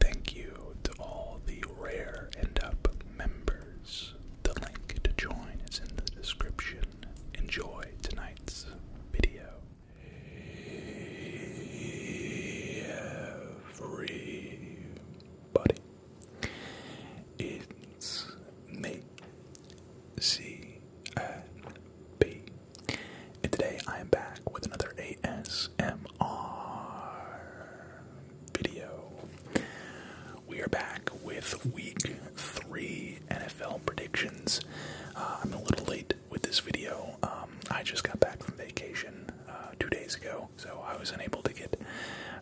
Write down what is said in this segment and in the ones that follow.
Thank you to all the Rare end Up members. The link to join is in the description. Enjoy tonight's video. Everybody, it's me, and today I am back with another ASMR video. We are back with week three NFL predictions. Uh, I'm a little late with this video. Um, I just got back from vacation uh, two days ago, so I was unable to get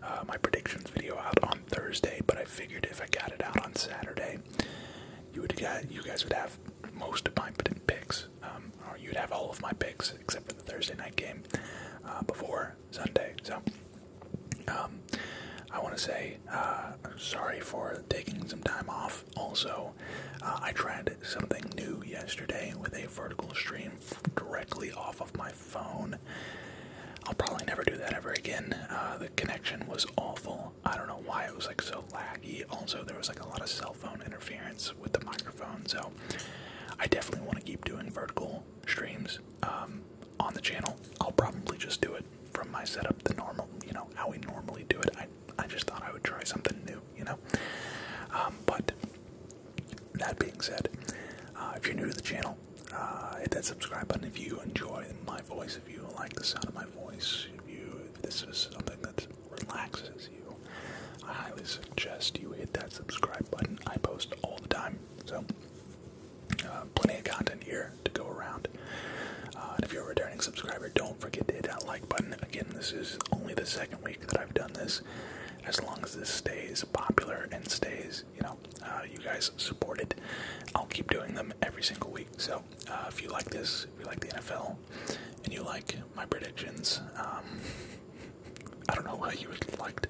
uh, my predictions video out on Thursday, but I figured if I got it out on Saturday, you would you guys would have most of my picks, um, or you'd have all of my picks except for the Thursday night game uh, before Sunday. So um, I want to say uh, sorry for taking some time off. Also, uh, I tried something new yesterday with a vertical stream directly off of my phone. I'll probably never do that ever again. the connection was awful. I don't know why it was like so laggy. Also, there was like a lot of cell phone interference with the microphone, so I definitely want to keep doing vertical streams um, on the channel. I'll probably just do it from my setup, the normal, you know, how we normally do it. I I just thought I would try something new, you know. Um, but that being said, uh, if you're new to the channel, uh, hit that subscribe button if you enjoy my voice, if you like the sound of my voice, if you this is something that's relaxes you, I highly suggest you hit that subscribe button. I post all the time, so uh, plenty of content here to go around. Uh, and if you're a returning subscriber, don't forget to hit that like button. Again, this is only the second week that I've done this. As long as this stays popular and stays, you know, uh, you guys support it, I'll keep doing them every single week. So if you like this, if you like the NFL, and you like my predictions. Um, I don't know why you liked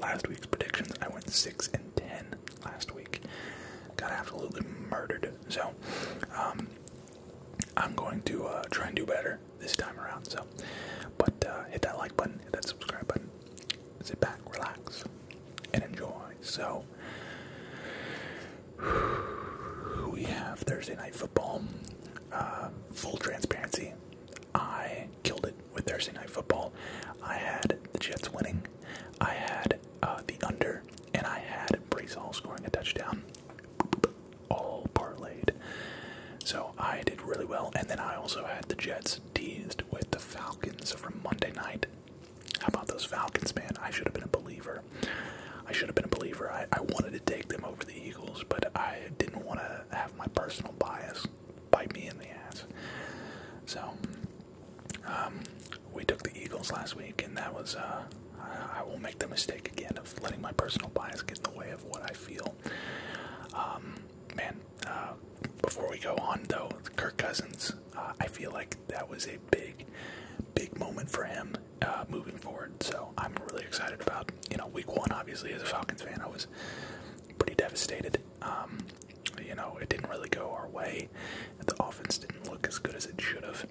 last week's predictions. I went 6 and 10 last week. Got absolutely murdered. So, um, I'm going to uh, try and do better this time around. So, but uh, hit that like button, hit that subscribe button, sit back, relax, and enjoy. So, we have Thursday night football. Um, full transparency, I killed it with Thursday Night Football. I had the Jets winning, I had uh, the under, and I had Brees Hall scoring a touchdown, all parlayed. So I did really well, and then I also had the Jets teased with the Falcons from Monday night. How about those Falcons, man? I should have been a believer. I should have been a believer. I, wanted to take them over the Eagles, but I didn't want to have my personal bias bite me in the ass. So, um, we took the Eagles last week, and that was, uh, I, won't make the mistake again of letting my personal bias get in the way of what I feel. Um, man, uh, before we go on, though, Kirk Cousins, uh, I feel like that was a big, big moment for him uh, moving forward. So I'm really excited about you know week one. Obviously, as a Falcons fan, I was pretty devastated. Um, you know, it didn't really go our way. The offense didn't look as good as it should have.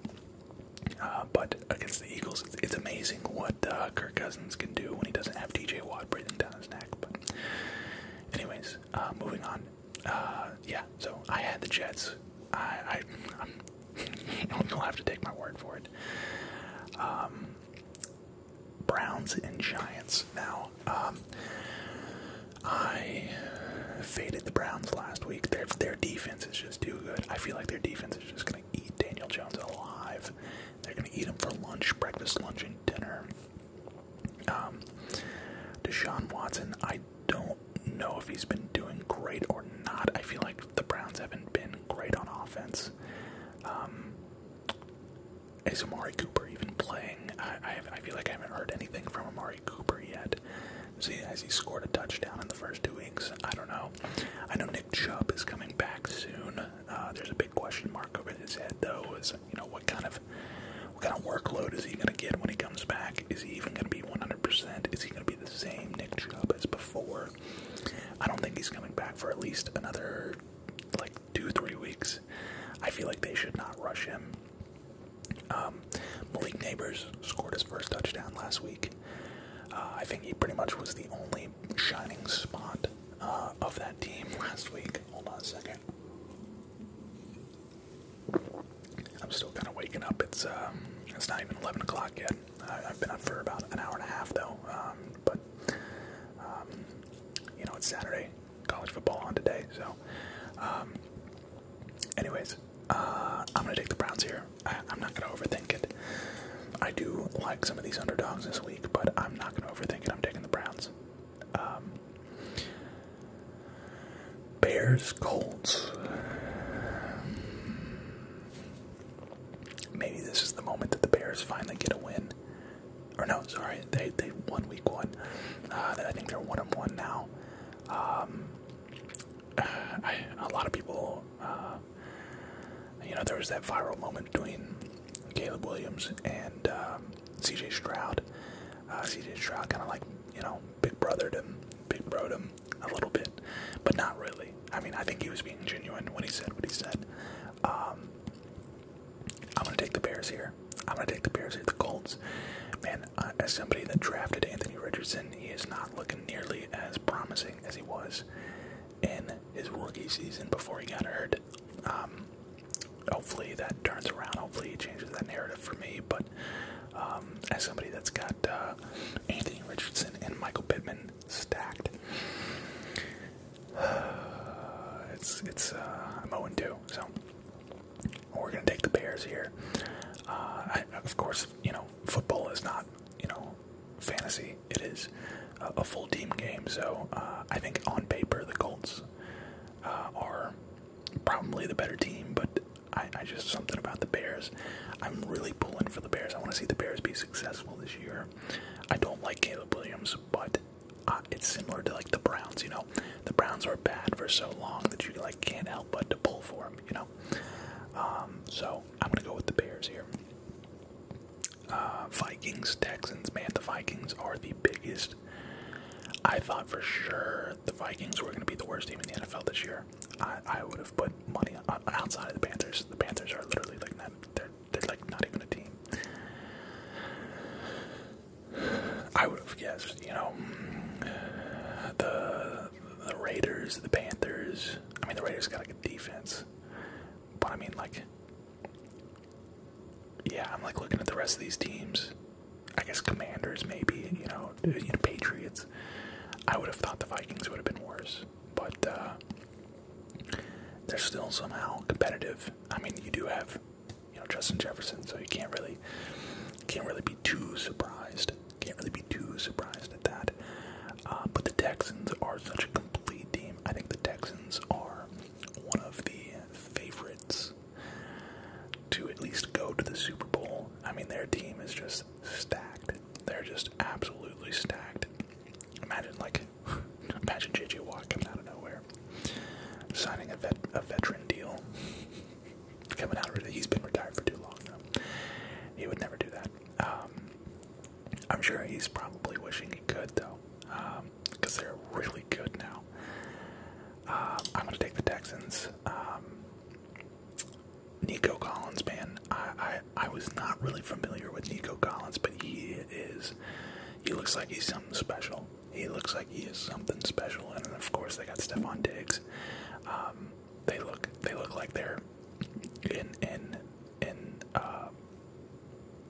Uh, but against the Eagles, it's, amazing what uh, Kirk Cousins can do when he doesn't have DJ Watt breathing down his neck. But, anyways, uh, moving on. Uh, yeah, so I had the Jets. I, I, You'll have to take my word for it. Um, Browns and Giants. Now, um, I faded the Browns last week. Their their defense is just too good. I feel like their defense is just going to eat Daniel Jones alive. They're going to eat him for lunch, breakfast, lunch, and dinner. Um, Deshaun Watson, I don't know if he's been doing great or not. I feel like the Browns haven't been great on offense. Um, is Amari Cooper even playing? I, feel like I haven't heard anything from Amari Cooper yet. See, has he scored a touchdown in the first two weeks? I don't know. I know Nick Chubb is coming back soon. Uh, there's a big question mark over his head, though. Is you know what kind of what kind of workload is he going to get when he comes back? Is he even going to be 100%? Is he going to be the same Nick Chubb as before? I don't think he's coming back for at least another like two, three weeks. I feel like they should not rush him. Um, Malik Neighbors scored his first touchdown last week. Uh, I think he pretty much was the only shining spot uh, of that team last week. Hold on a second. I'm still kind of waking up. It's um, it's not even 11 o'clock yet. I've been up for about an hour and a half though. Um, but um, you know, it's Saturday, college football on today. So, um, anyways, uh, I'm gonna take the Browns here. I, am not gonna overthink it. I do like some of these underdogs this week, but I'm not gonna overthink it. I'm taking the Browns. Bears Colts. Maybe this is the moment that the Bears finally get a win. Or no, sorry, they they won week one. Uh, I think they're one and one now. Um, a lot of people, uh, you know, there was that viral moment between Caleb Williams and um, C.J. Stroud. Uh, C.J. Stroud kind of like you know big brothered him, big broed him a little bit, but not really. I mean, I think he was being genuine when he said what he said. Um, I'm gonna take the Bears here. I'm gonna take the Bears here. The Colts, man. Uh, as somebody that drafted Anthony Richardson, he is not looking nearly as promising as he was in his rookie season before he got hurt. Um, hopefully that turns around. Hopefully he changes that narrative for me. But um, as somebody that's got uh, Anthony Richardson and Michael Pittman stacked. it's it's uh, I'm 0 2, so we're gonna take the Bears here. Uh, of course, you know football is not you know fantasy; it is a, full team game. So I think on paper the Colts are probably the better team, but I, I just something about the Bears. I'm really pulling for the Bears. I want to see the Bears be successful this year. I don't like Caleb Williams, but uh, it's similar to like the Browns. You know, the Browns are bad for so long that you like can't help but to pull for them. You know, um, so I'm gonna go with the Bears here. Uh, Vikings, Texans, man, the Vikings are the biggest. I thought for sure the Vikings were going to be the worst team in the NFL this year, I, I would have put money outside of the Panthers. The Panthers are literally like not, they're like not even a team. I would have guessed, you know, the the Raiders, the Panthers. I mean, the Raiders got like a defense, but I mean, like, yeah, I'm like looking at the rest of these teams. I guess Commanders, maybe you know, you know Patriots. I would have thought the Vikings would have been worse, but uh, they're still somehow competitive. I mean, you do have, you know, Justin Jefferson, so you can't really, can't really be too surprised. Can't really be too surprised at that. Uh, but the Texans are such a complete team. I think the Texans are one of the favorites to at least go to the Super Bowl. I mean, their team is just stacked. They're just absolutely stacked. Imagine like, imagine JJ Watt coming out of nowhere, signing a a veteran deal. coming out of he's been retired for too long though. He would never do that. Um, I'm sure he's probably wishing he could though, because um, they're really good now. Uh, I'm gonna take the Texans. Um, Nico Collins, man. I, I I was not really familiar with Nico Collins, but he is. He looks like he's something special. He looks like he is something special, and then of course they got Stephon Diggs. Um, they look they look like they're in in in uh,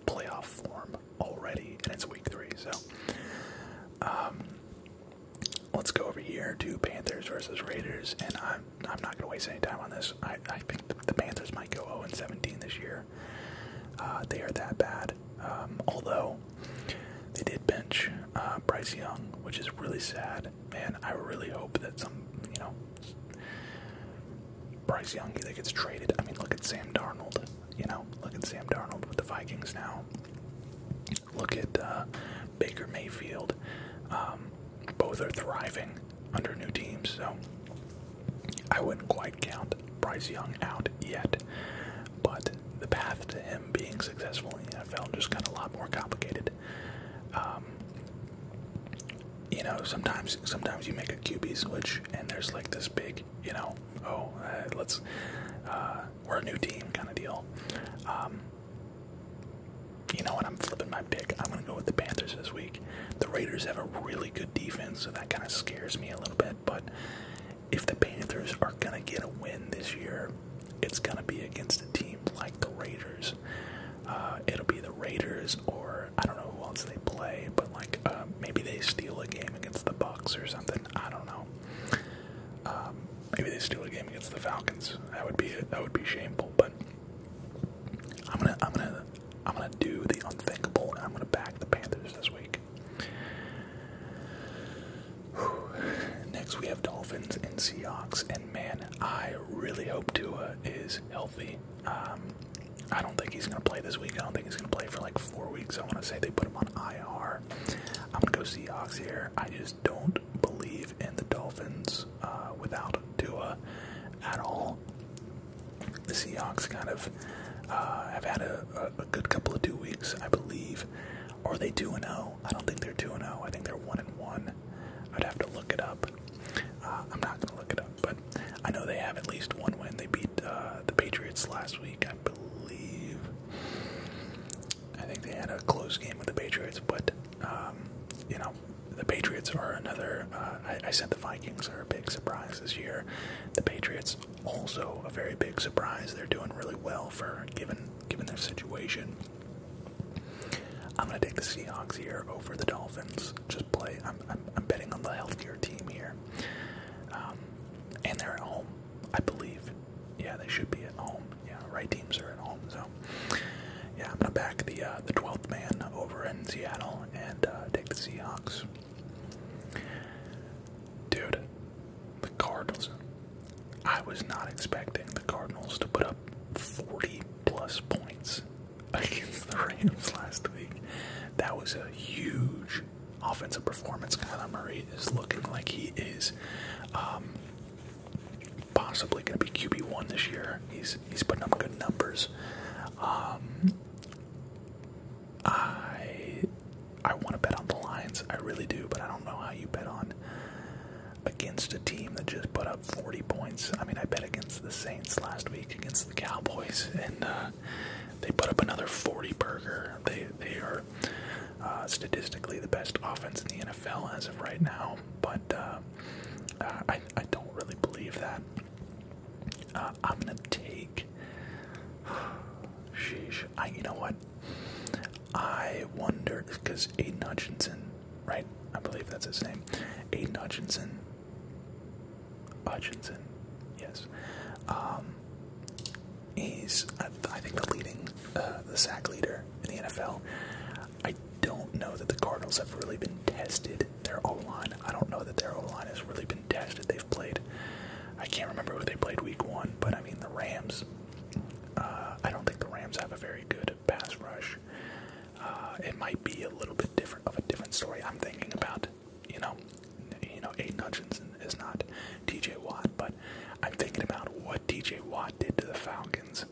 playoff form already, and it's week three. So, um, Let's go over here to Panthers versus Raiders, and I'm I'm not gonna waste any time on this. I I think the Panthers might go 0 17 this year. Uh, they are that bad. Um, although they did bench uh, Bryce Young, which is really sad. Man, I really hope that some you know Bryce Young either gets traded. I mean, look at Sam Darnold. You know, look at Sam Darnold with the Vikings now. Look at uh, Baker Mayfield. Um, both are thriving under new teams, so I wouldn't quite count Bryce Young out yet. But the path to him being successful in the NFL just got a lot more complicated. Um, you know, sometimes sometimes you make a QB switch, and there's like this big, you know, oh, uh, let's uh, we're a new team kind of deal. Um, you know what? I'm flipping my pick. I'm going to go with the Panthers this week. The Raiders have a really good defense, so that kind of scares me a little bit. But if the Panthers are going to get a win this year, it's going to be against a team like the Raiders. Uh, it'll be the Raiders, or I don't know who else they play, but like uh, maybe they steal a game against the Bucks or something. I don't know. Um, maybe they steal a game against the Falcons. That would be that would be shameful. But I'm gonna I'm gonna I'm gonna do the unthinkable, I'm gonna back the Panthers this week. Next we have Dolphins and Seahawks, and man, I really hope Tua is healthy. Um, I don't think he's gonna play this week. I don't think he's gonna play for like four weeks. I want to say they put him on IR. I'm gonna go Seahawks here. I just don't believe in the Dolphins uh, without Tua at all. The Seahawks kind of uh, have had a, good couple of two weeks, I believe. Or are they 2 and 0? I don't think they're 2 and 0. I think they're 1 and 1. I'd have to look it up. Uh, I'm not going to look it up, but I know they have at least one win. They beat uh, the Patriots last week, I believe. I think they had a close game with the Patriots, but um, you know, the Patriots are another. Uh, I, said the Vikings are a big surprise this year. The Patriots also a very big surprise. They're doing really well for given given their situation. I'm gonna take the Seahawks here over the Dolphins. Just play. I'm I'm, betting on the healthier team here, um, and they're at home. I believe. Yeah, they should be at home. Yeah, right teams are at home. So, yeah, I'm gonna back the uh, the 12th man over in Seattle and uh, take the Seahawks. Dude, the Cardinals. I was not expecting the Cardinals to put up 40 plus points against the Rams last week. That was a huge offensive performance. Kyler Murray is looking like he is um, possibly going to be QB one this year. He's he's putting up good numbers. Um, I I want to bet on the Lions. I really do, but I don't know how you bet on against a team that just put up 40 points. I mean, I bet against the Saints last week against the Cowboys, and uh, they put up another 40 burger. They they are uh, statistically the best offense in the NFL as of right now, but uh, uh, I, don't really believe that. I'm gonna take. Sheesh. I, you know what? I wonder because Aiden Hutchinson, right? I believe that's his name. Aiden Hutchinson. Hutchinson, yes. Um, He's, I think, the leading, uh, the sack leader in the NFL. I don't know that the Cardinals have really been tested. Their O line, I don't know that their O line has really been tested. They've played, I can't remember who they played week one, but I mean, the Rams. Uh, I don't think the Rams have a very good pass rush. Uh, it might be a little bit different of a different story. I'm thinking about, you know, you know, Aiden Hutchinson is not T.J. Watt, but. I'm thinking about what D.J. Watt did to the Falcons.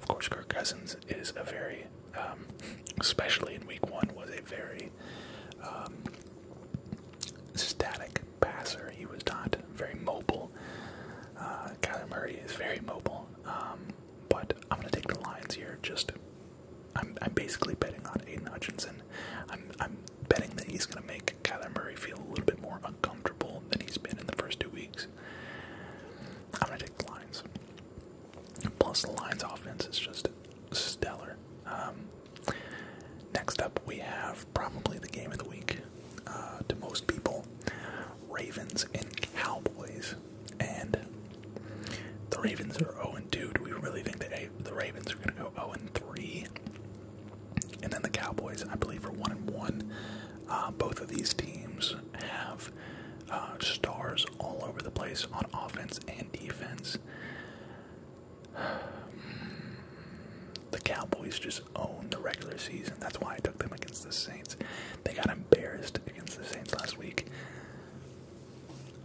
Of course, Kirk Cousins is a very, um, especially in week one, was a very um, static passer. He was not very mobile. Uh, Murray is very mobile. Um, but I'm going to take the Lions here. Just, I'm, I'm basically betting on Aiden Hutchinson. I'm betting that he's going to make Kyler Murray feel a little bit more uncomfortable than he's been in the first two weeks. I'm going to take the Lions. Plus, the Lions offense is just stellar. Um, next up, we have probably the game of the week uh, to most people Ravens and Cowboys. And the Ravens are 0 2. Do we really think that the Ravens are going to go 0 3? And then the Cowboys, I believe, are one and one. Uh, both of these teams have uh, stars all over the place on offense and defense. The Cowboys just own the regular season. That's why I took them against the Saints. They got embarrassed against the Saints last week.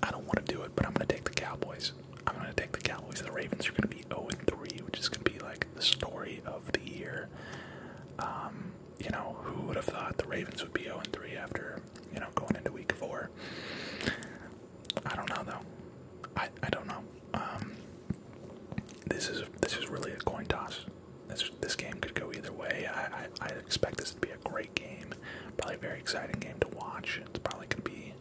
I don't want to do it, but I'm going to take the Cowboys. I'm going to take the Cowboys. The Ravens are going to be 0 and 3, which is going to be like the story of the year. Um, you know, who would have thought the Ravens would be 0 and 3 after, you know, going into week four? I don't know, though. I, I don't know. Um, this is this is really a coin toss. This this game could go either way. I, I expect this to be a great game, probably very exciting game to watch. It's probably gonna be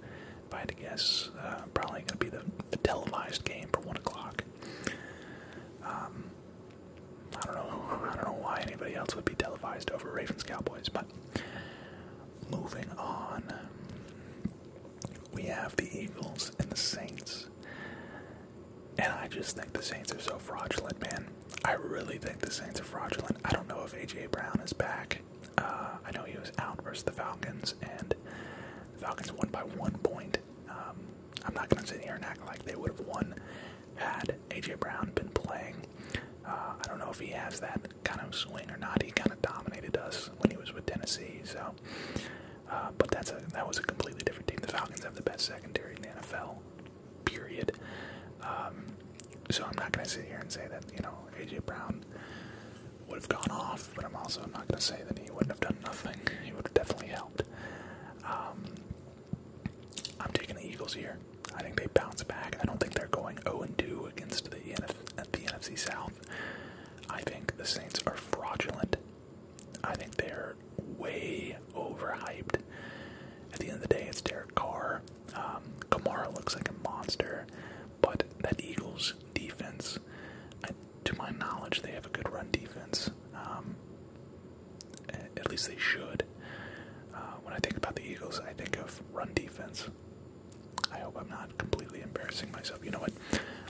if I had to guess, uh, probably going to be the, televised game for one o'clock. Um, I don't know. I don't know why anybody else would be televised over Ravens Cowboys, but moving on, we have the Eagles and the Saints. And I just think the Saints are so fraudulent, man. I really think the Saints are fraudulent. I don't know if AJ Brown is back. Uh, I know he was out versus the Falcons, and the Falcons won by one point. Um, I'm not going to sit here and act like they would have won had A.J. Brown been playing. Uh, I don't know if he has that kind of swing or not. He kind of dominated us when he was with Tennessee. So, uh, but that's that was a completely different team. The Falcons have the best secondary in the NFL. Period. Um, so I'm not going to sit here and say that you know A.J. Brown would have gone off, but I'm also not going to say that he wouldn't have done nothing. He would have definitely helped. Um, I'm taking the Eagles here. I think they bounce back. I don't think they're going 0-2 against the, NF the NFC South. I think the Saints are fraudulent. I think they're way overhyped. At the end of the day, it's Derek Carr. Um, Kamara looks like a monster, but that Eagles defense. to my knowledge, they have a good run defense. Um, at least they should. Uh, when I think about the Eagles, I think of run defense. I hope I'm not completely embarrassing myself. You know what?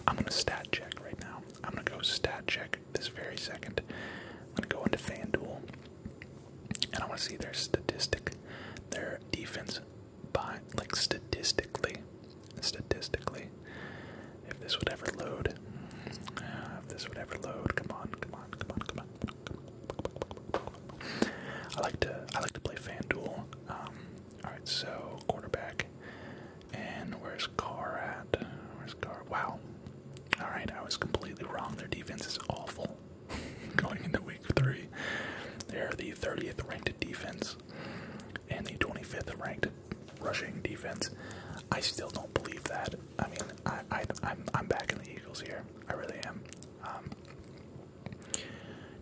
I'm gonna stat check right now. I'm gonna go stat check this very second. I'm gonna go into FanDuel, and I want to see their statistic, their defense by like statistically, statistically, if this would ever load, if this would ever load, come on, come on, come on, come on. I like to, I like to play FanDuel. Um, all right, so quarterback, and where's Carr at? Where's Carr? Wow. All right, I was completely wrong. Their defense is awful. Going into week three, they are the 30th ranked defense and the 25th ranked rushing defense. I still don't believe that. I mean, I, I, am I'm backing the Eagles here. I really am. Um,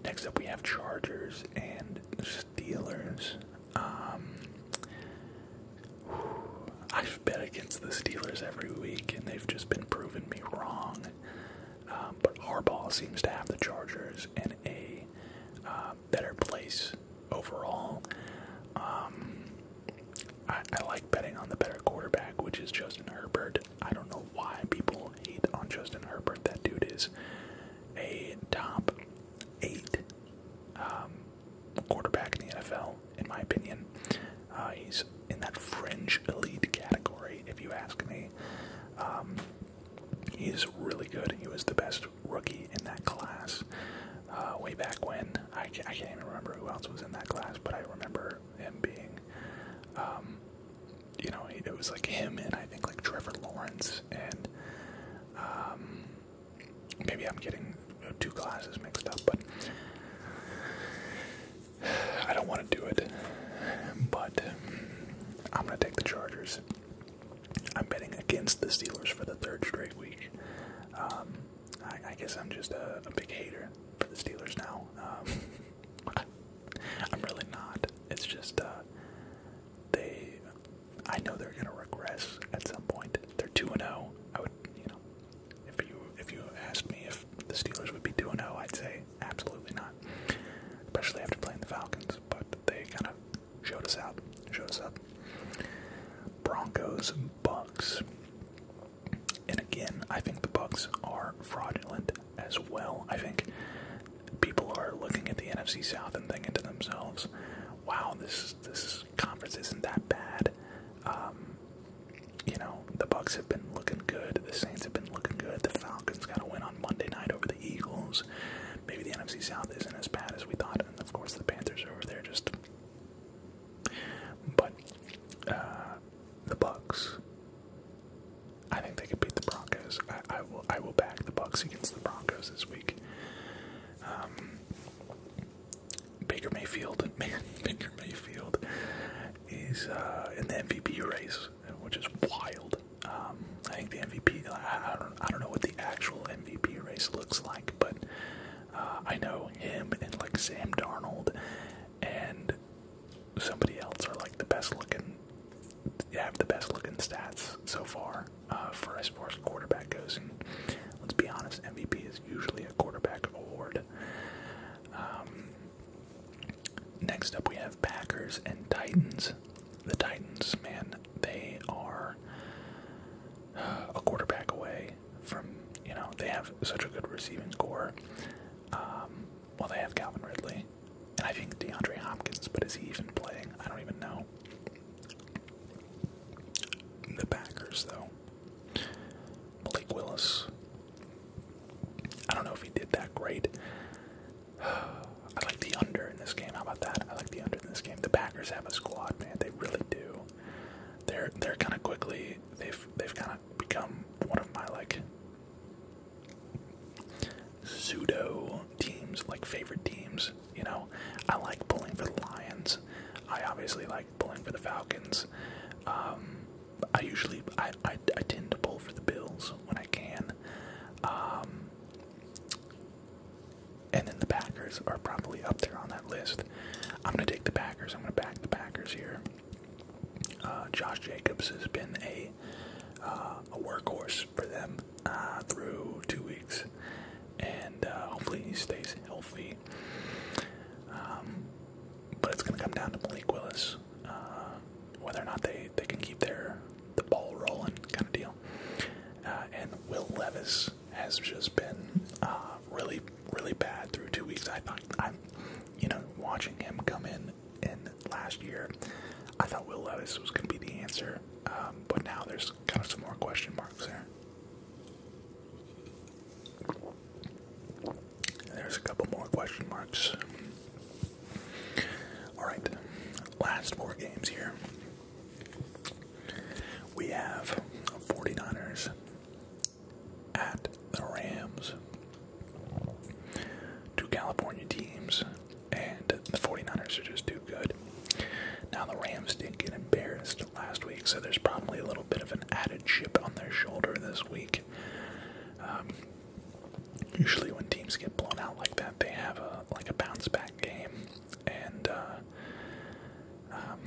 next up, we have Chargers and Steelers. Um, I've bet against the Steelers every week, and they've just been proving me wrong. Um, but our ball seems to have the Chargers, and a uh, better place overall. Um, I, like betting on the better quarterback, which is Justin Herbert. I don't know why people hate on Justin Herbert. That dude is a top eight um, quarterback in the NFL, in my opinion. Uh, he's in that fringe elite category, if you ask me. Um, He's really good. He was the best rookie in that class uh, way back when. I can't, even remember who else was in that class, but I remember him being, um, you know, it was like him and I think like Trevor Lawrence and um, maybe I'm getting two classes mixed up, but I don't want to do it. But I'm going to take the Chargers. I'm betting against the Steelers for the third straight week. Um, I, guess I'm just a, big hater for the Steelers now. Um, I'm really not. It's just uh, they. I know they're going to regress at some point. They're two and zero. Oh. I would, you know, if you if you asked me if the Steelers would be two and zero, oh, I'd say Absolutely not. Especially after playing the Falcons, but they kind of showed us out. Showed us up. Broncos, Bucks. And again, I think the Bucks are fraudulent as well. I think people are looking at the NFC South and thinking to themselves, "Wow, this this conference isn't that bad." Um, you know, the Bucks have been looking good. The Saints have been looking good. Falcons got a win on Monday night over the Eagles. Maybe the NFC South isn't as bad as we thought, and of course the Panthers are over there just. But uh, the Bucks, I think they can beat the Broncos. I, I will. I will back the Bucks against the Broncos this week. Um, Baker Mayfield, man, Baker Mayfield is uh, in the MVP race which is wild. Um, I think the MVP. I don't. I don't know what the actual MVP race looks like, but uh, I know him and like Sam Darnold and somebody else are like the best looking. Have the best looking stats so far uh, for as far as quarterback goes, let's be honest, MVP is usually a quarterback award. Um, Next up, we have Packers and Titans. The Titans, man, they are a quarterback away from, you know, they have such a good receiving core. Um, well, they have Calvin Ridley, and I think DeAndre Hopkins, but is he even playing? I don't even know. The Packers, though. Malik Willis, I don't know if he did that great. I like the under in this game. How about that? I like the under in this game. The Packers have a squad, man. They really do. They're they're kind of quickly. They've they've kind of become one of my like pseudo teams, like favorite teams. You know, I like pulling for the Lions. I obviously like pulling for the Falcons. Um, I usually I, I, tend to pull for the Bills when I can. Um, and then the Packers are probably up there on that list. I'm going to take the Packers. I'm going to back the Packers here. Uh, Josh Jacobs has been a uh, a workhorse for them uh, through two weeks, and hopefully he stays healthy. Um, but it's going to come down to Malik Willis. Uh, whether or not they, they can keep their the ball rolling kind of deal. Uh, and Will Levis has just been uh, really really bad through two weeks. I thought I'm you know watching him come in in last year, I thought Will Levis was going to be the answer, um, but now there's kind of some more question marks there. There's a couple more question marks. Alright, last four games here. We have 49ers at the Rams. Two California teams, and the 49ers are just too good. Now, the Rams did get embarrassed last week, so there's probably a little bit of an added chip on their shoulder this week. Um, Usually, when teams get blown out like that, they have a like a bounce back game, and uh, um,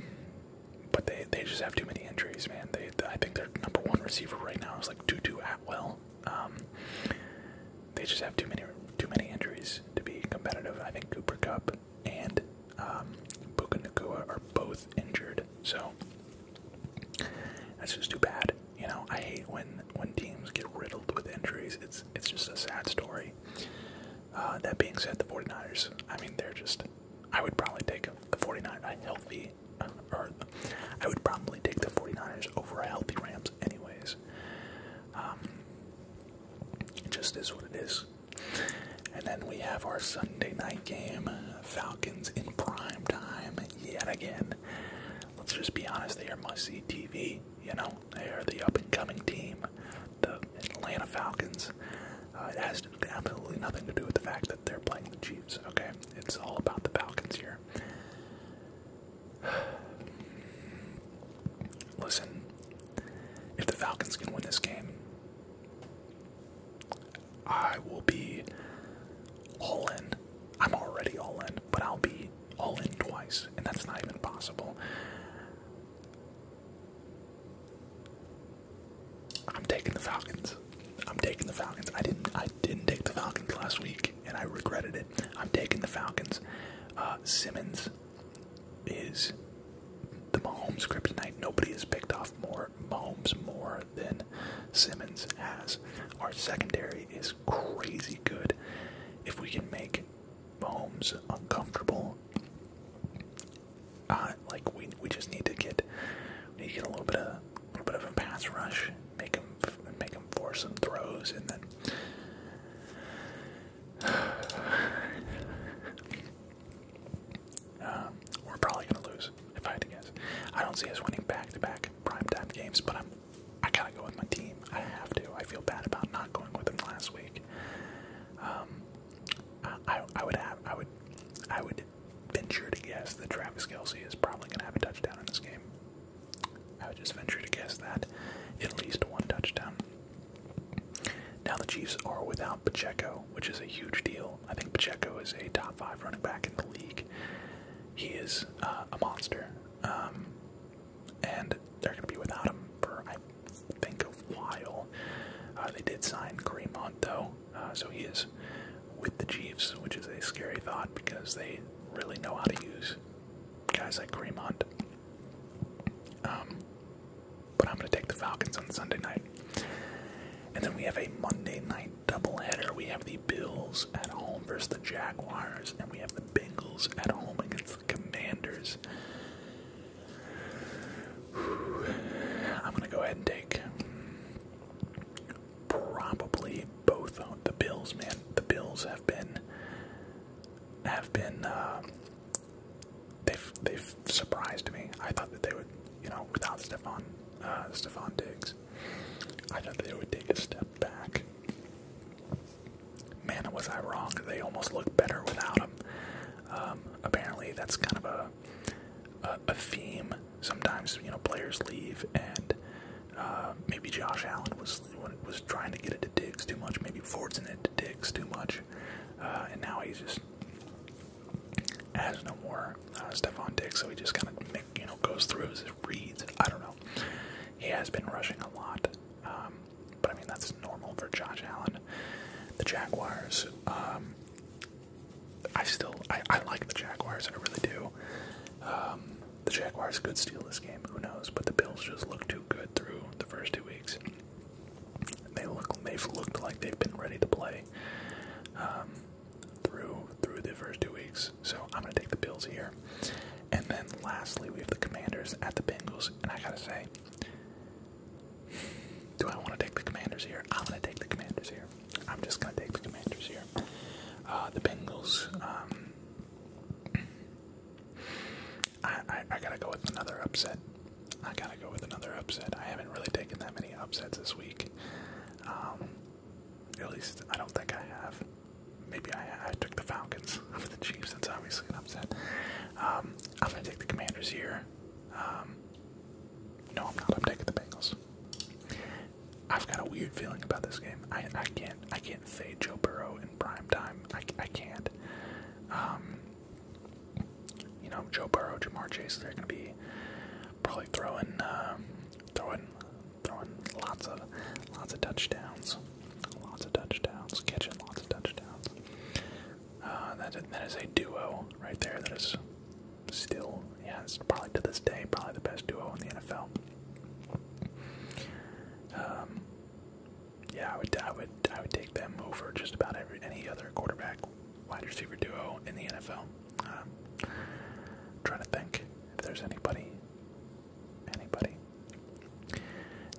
but they they just have too many injuries, man. They I think their number one receiver right now is like Tutu Atwell. Um, they just have too many too many injuries to be competitive. I think Cooper Cup and um, Puka Nakua are both injured, so that's just too bad. You know, I hate when when teams get riddled with injuries. It's it's just a sad story. Uh, that being said, the 49ers, I mean, they're just. I would probably take the 49ers a healthy, uh, or I would probably take the 49ers over a healthy Rams, anyways. Um, just is what it is. And then we have our Sunday night game, Falcons in prime time yet again. Let's just be honest, they are must see TV. You know, they are the up and coming team, the Atlanta Falcons. Uh, it has absolutely nothing to do with the fact that they're playing the Chiefs, okay? It's all about the Falcons here. Listen, if the Falcons can win this game, I will be all in. I'm already all in, but I'll be all in twice, and that's not even possible. I'm taking the Falcons. I'm taking the Falcons. I didn't I didn't take the Falcons last week and I regretted it. I'm taking the Falcons. Uh, Simmons is the Mahomes tonight. Nobody has picked off more Mahomes more then Simmons has. Our secondary is crazy good. If we can make Mahomes uncomfortable, uh, like we we just need to get we need to get a little bit of a little bit of a pass rush, make him make him force some throws, and then. Um, we're probably going to lose, if I had to guess. I don't see us winning back-to-back primetime games, but I'm, I gotta go with my team. I have to. I feel bad about not going with them last week. Um, I, I would have, I would, I would venture to guess that Travis Kelsey is probably going to have a touchdown in this game. I would just venture to guess that at least one touchdown. Now the Chiefs are without Pacheco, which is a huge deal. I think Pacheco is a top five running back in the league. He is uh, a monster, um, and they're going to be without him for I think a while. Uh, they did sign Kareem though, uh, so he is with the Chiefs, which is a scary thought because they really know how to use guys like Kareem um, but I'm going to take the Falcons on Sunday night. And then we have a Monday night doubleheader. We have the Bills at home versus the Jaguars, and we have the Bengals at home against the Commanders. I'm gonna go ahead and take probably both on the Bills, man. The Bills have been have been uh, they've they've surprised me. I thought that they would, you know, without Stefan uh, Stefan Diggs. I thought they would take a step back. Man, was I wrong? They almost look better without them. Um, apparently, that's kind of a, a theme. Sometimes you know players leave, and uh, maybe Josh Allen was was trying to get it to Diggs too much. Maybe Ford's in it to Diggs too much, uh, and now he's just has no more uh, Stephon Diggs, so he just kind of you know goes through his reads. I don't know. He has been rushing a lot, um, but I mean that's normal for Josh Allen. The Jaguars. Um, I still I, like the Jaguars. I really do. Um, the Jaguars could steal this game. Who knows? But the Bills just look too good through the first two weeks. They look they've looked like they've been ready to play through through the first two weeks. So I'm gonna take the Bills here. And then lastly, we have the Commanders at the Bengals. And I gotta say, do I want to take the Commanders here? I'm gonna take the Commanders here. I'm just gonna take the Commanders here. Uh, the Bengals. Um, I I gotta go with another upset. I gotta go with another upset. I haven't really taken that many upsets this week. Um, at least I don't think I have. Maybe I, took the Falcons over the Chiefs. That's obviously an upset. Um, I'm gonna take the Commanders here. Um, no, I'm not. I'm taking the Bengals. I've got a weird feeling about this game. I can't I can't say Joe Burrow in prime time. I can't. you know Joe Burrow, Joe Chase. They're gonna be probably throwing, uh, throwing, throwing lots of, lots of touchdowns, lots of touchdowns, catching lots of touchdowns. Uh, that that is a duo right there. That is still, yeah, it's probably to this day probably the best duo in the NFL. Um, yeah, I would, I would, I would take them over just about every any other quarterback wide receiver duo in the NFL. I'm trying to think if there's anybody. Anybody.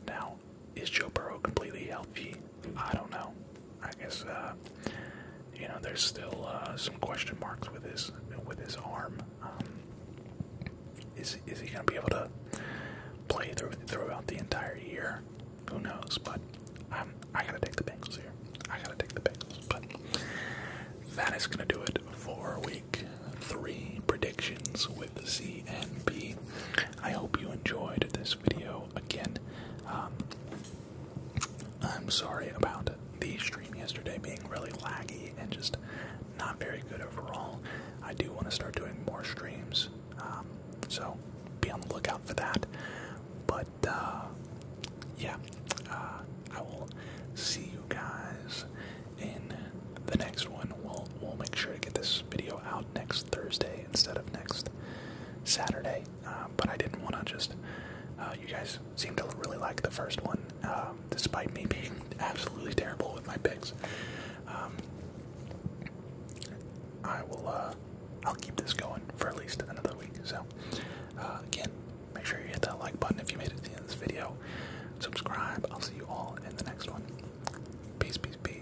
Now, is Joe Burrow completely healthy? I don't know. I guess uh, you know there's still uh, some question marks with his with his arm. Um, is is he going to be able to play through, throughout the entire year? Who knows? But um, I gotta take the Bengals here. I gotta take the Bengals. But that is gonna do it for week three predictions with the CNP. I hope you enjoyed this video. Again, um, I'm sorry about the stream yesterday being really laggy and just not very good overall. I do want to start doing more streams, um, so be on the lookout for that. But but uh, yeah, uh, I will see you guys in the next one. We'll we'll make sure to get this video out next Thursday instead of next Saturday. Uh, but I didn't want to just. you guys seem to really like the first one, um, despite me being absolutely terrible with my picks. Um, I will. I'll keep this going for at least another week. So uh, again, make sure you hit that like button if you made it to the end of this video. Subscribe. I'll see you all in the next one. Peace, peace, peace.